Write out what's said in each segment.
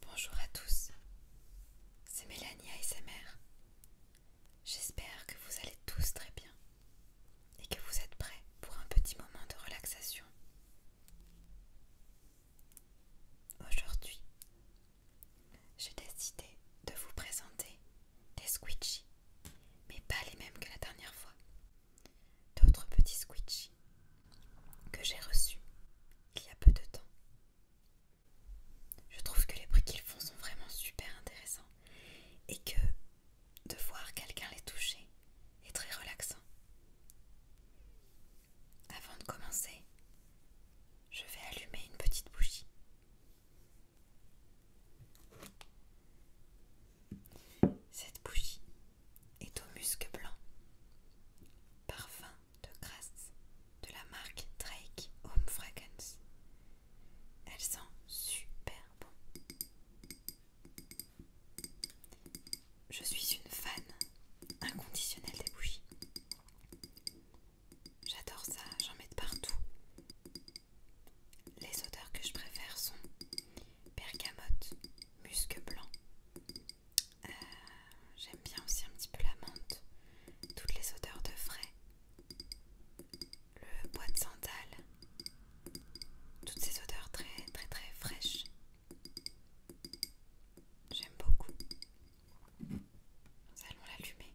Bonjour à tous, c'est Mélanie ASMR. J'espère que vous allez tous très bien et que vous êtes prêts pour un petit moment de relaxation. Aujourd'hui, j'ai décidé de vous présenter des squitchies, mais pas les mêmes que la dernière fois. D'autres petits squitchies que j'ai reçus il y a peu de temps. Je trouve que les prix qu'ils font sont vraiment super intéressants et que de voir quelqu'un les toucher est très relaxant. Avant de commencer, je vais allumer une petite bougie. Cette bougie est au musc blanc, parfum de grâce de la marque Drake Home Fragrance. Elle sent super bon. Je suis une fan inconditionnelle des bougies. J'adore ça, j'en mets de partout. Les odeurs que je préfère sont bergamote, musc blanc. Euh, j'aime bien aussi un petit peu la menthe, toutes les odeurs de frais, le bois de santal, toutes ces odeurs très très très fraîches. J'aime beaucoup. Nous allons l'allumer.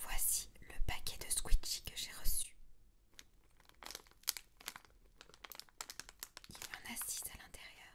Voici le paquet de switchy que j'ai reçu. Il y en a six à l'intérieur.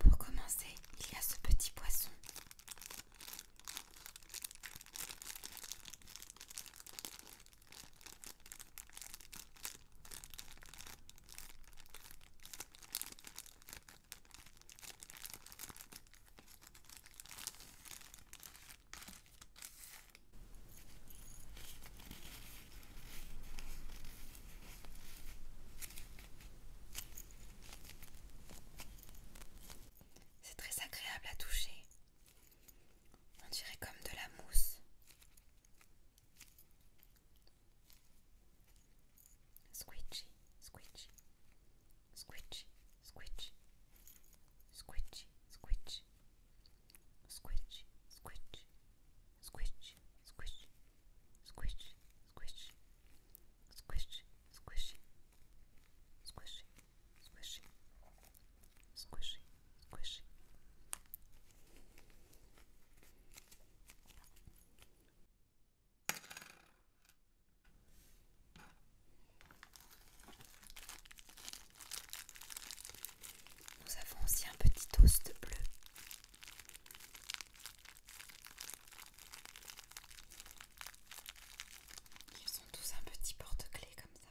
Pour commencer, il y a ce petit poisson. C'est très agréable à toucher. On dirait comme de la mousse. Squidgy, squidgy, squidgy, squidgy, squidgy, squidgy, squidgy, squidgy, squidgy, squidgy, squidgy, squidgy, squidgy, squishy, squishy, squishy, squishy, Nous avons aussi un petit toast bleu. Ils sont tous un petit porte-clés comme ça.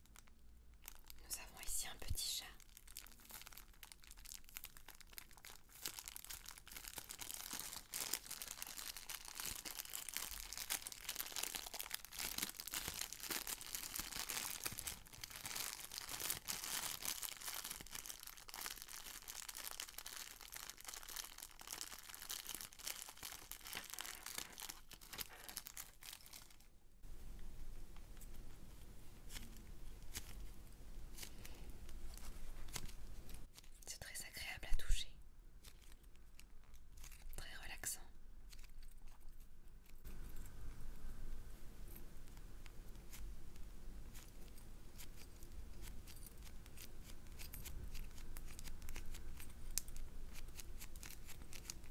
Nous avons ici un petit chat. C'est très agréable à toucher, très relaxant.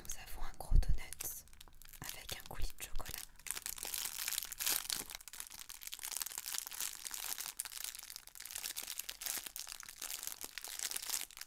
Nous avons un gros donut avec un coulis de chocolat.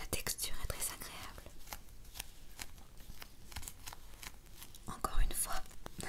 La texture est très agréable. Encore une fois.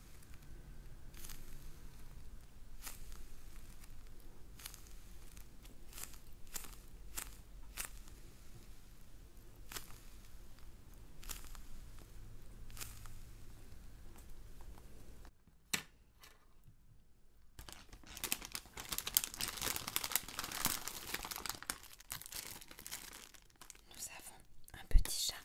Nous avons un petit chat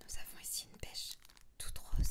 Nous avons ici une pêche toute rose.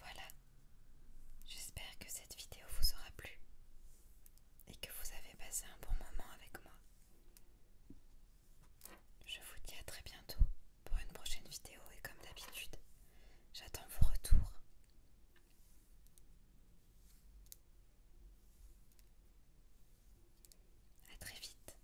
Voilà, j'espère que cette vidéo vous aura plu et que vous avez passé un bon moment avec moi. Je vous dis à très bientôt pour une prochaine vidéo et comme d'habitude, j'attends vos retours. À très vite.